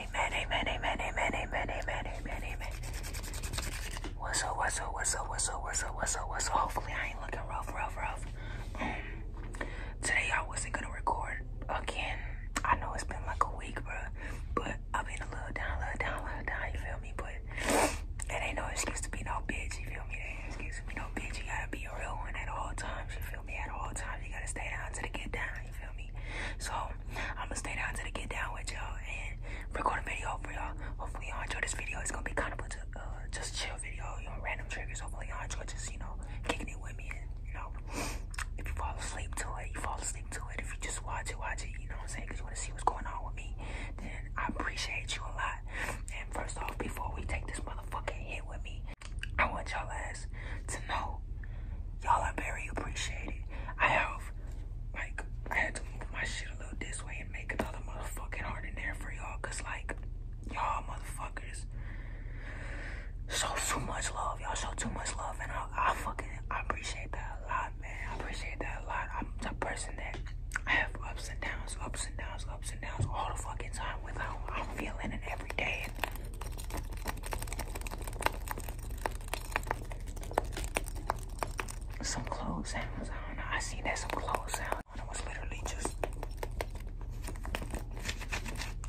Amen, amen, amen, amen, amen, amen, amen, amen. What's up, what's up, what's up, what's Hopefully I ain't looking rough, rough, rough. Mm. Today I wasn't gonna record again. I know it's been like a week, bro, but I've been a little down, little down, little down, you feel me? But it ain't no excuse to be no bitch, you feel me? It excuse to be no bitch. You gotta be a real one at all times, you feel me? At all times, you gotta stay down to the get down, feel me? So I'm gonna stay down till I get down with y'all and record a video for y'all. Hopefully y'all enjoy this video. It's gonna be kind of a uh, just chill video, you know, random triggers. Hopefully y'all enjoy just you know kicking it with me and you know if you fall asleep to it, you fall asleep to it. If you just watch it, watch it. You know what I'm saying? Cause you wanna see what's going on with me. Then I appreciate you a lot. And first off, before we take this motherfucking hit with me, I want y'all ass to know y'all are very appreciated. I have, like, I had to move my shit a little this way and make another motherfucking harder in there for y'all. Cause like, y'all motherfuckers show too much love. Y'all show too much love. And I, fucking, I appreciate that a lot, man. I appreciate that a lot. I'm the person that I have ups and downs, ups and downs, ups and downs all the fucking time with how I'm feeling it every day. Some clothes I seen that some clothes I was literally just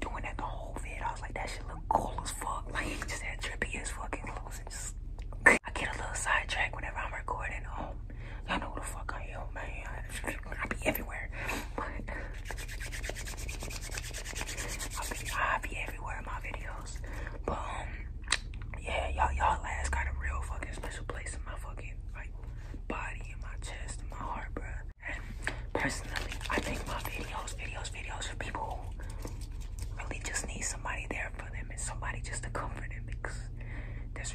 doing that the whole vid. I was like, that shit look cool as fuck. Like, just that trippy as fucking clothes. And just I get a little sidetracked whenever I'm recording. Oh, Y'all know who the fuck I am, man. I be everywhere. But I be, I be everywhere in my videos. But um, yeah, y'all y'all last got a real fucking special place in my fucking like body, in my chest, in my heart, bro. And personally, I make my videos, videos, videos for people who really just need somebody there for them and somebody just to comfort them because there's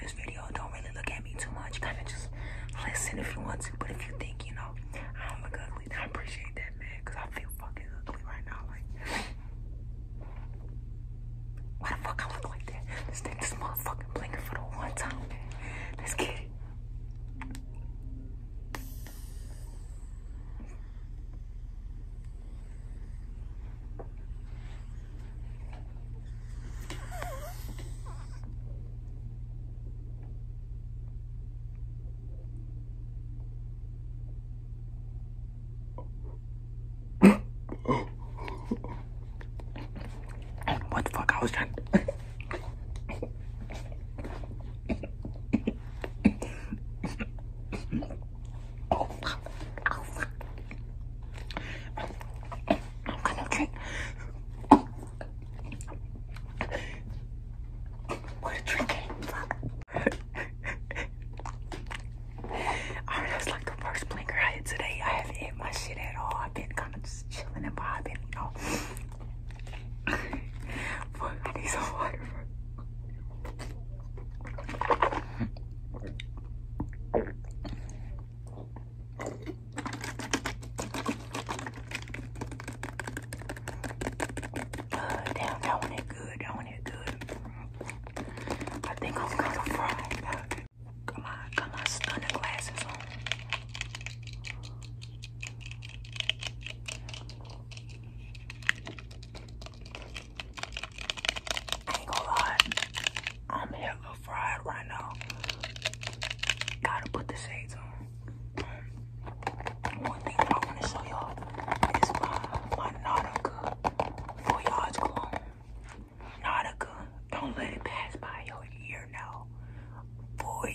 this video don't really look at me too much. Kind of just listen if you want to. But if you think, you know, I am not look ugly, I appreciate that, man. Because I feel fucking ugly right now. Like, why the fuck I look like that? This thing, is motherfucking blinking for the one time, man. Let's get it what the fuck I was trying Oh, I'm gonna drink. What a drink Fuck. Alright, that's like the first blinker I hit today. I haven't hit my shit at all. I've been kind of just chilling and vibing, you know. but I need some water. Uh, damn, that one is good. That one is good. I think I'm gonna fry. Got my, got my stunner on ain't gonna lie, I'm hella fried right now. Gotta put the shades on. One thing I wanna show y'all is my, my Nautica Voyage cologne. Nautica, don't let it pass by your ear now. Voyage.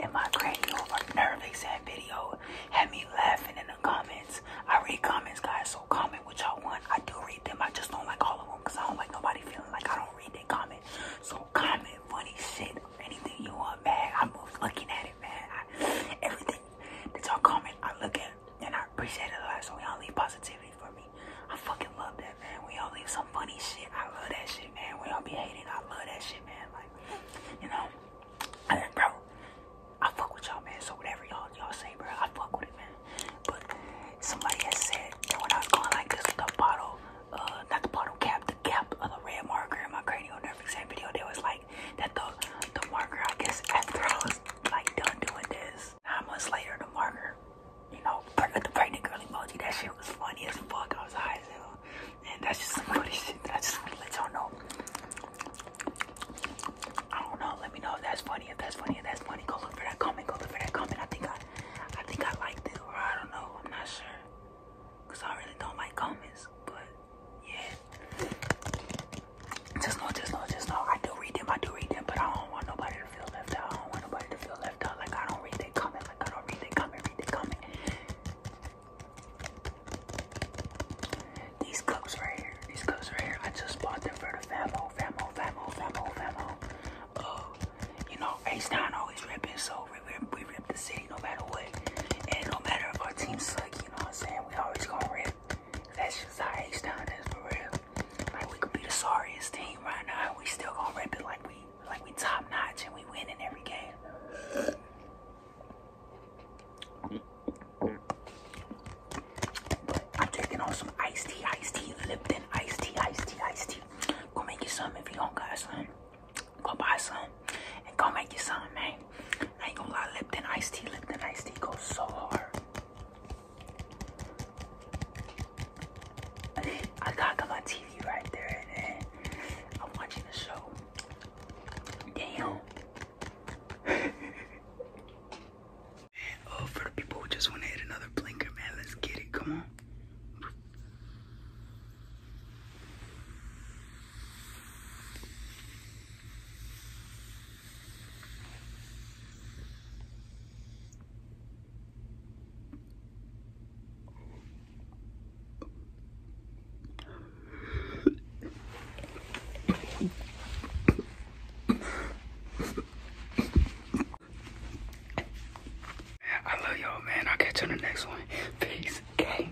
in my cranial nervous exam video had me laughing in the comments. I read comments, guys, so comment what y'all want. I do read them. I just don't like all of them because I don't like nobody feeling like I don't read that comment. So comment funny shit or anything you want, man. I'm looking at it, man. everything that all comment, I look at and I appreciate it a lot. So y'all leave positivity for me. I fucking love that, man. We all leave some funny shit, I love that shit, man. We all be hating, I love that shit, man. Like, you know, I, bro, I fuck with y'all, man. So whatever y'all y'all say, bro, I fuck with it, man. But somebody has said that when I was going like this, with the bottle, uh, not the bottle cap, the cap of the red marker in my cranial nerve exam video, there was like that the the marker, I guess, after I was like done doing this, Nine months later, the marker, you know, the pregnant girl emoji, that shit was funny as fuck. I was high as hell. And that's just some funny shit that I just want to let y'all know. I don't know. Let me know if that's funny. If that's funny. If that's funny. Go look for that comment. Go look for that comment. I think I, I think I liked it, or I don't know. I'm not sure, cause I really don't like comments. But yeah, just know, just know, just know. I do read them. I do read them, but I don't want nobody nobody to feel left out. I don't want nobody to feel left out. Like I don't read they comment. Like I don't read they comment. Read they comment. These cups right here. These cups right here. I just bought them for the famo, famo, famo, famo, famo. Uh, you know, Ace Down always ripping, so we rip, we rip the city no matter what, and no matter if our team suck. You know what I'm saying? We always gonna rip. That's just how H Town is for real. Like we could be the sorriest team right now, and we still gonna rip it like we like we top notch and we win in every game. I'm taking on some iced tea, iced tea, Lipton, iced tea, iced tea, iced tea. Go make you some if you don't got some. Go buy some and go make you some, man. I ain't gonna lie, Lipton iced tea, Lipton iced tea goes so hard. I got my TV right there and I'm watching the show. Damn. oh, for the people who just want to hit another blinker, man, let's get it. Come on. I love y'all, man. I'll catch you in the next one. Peace. Okay.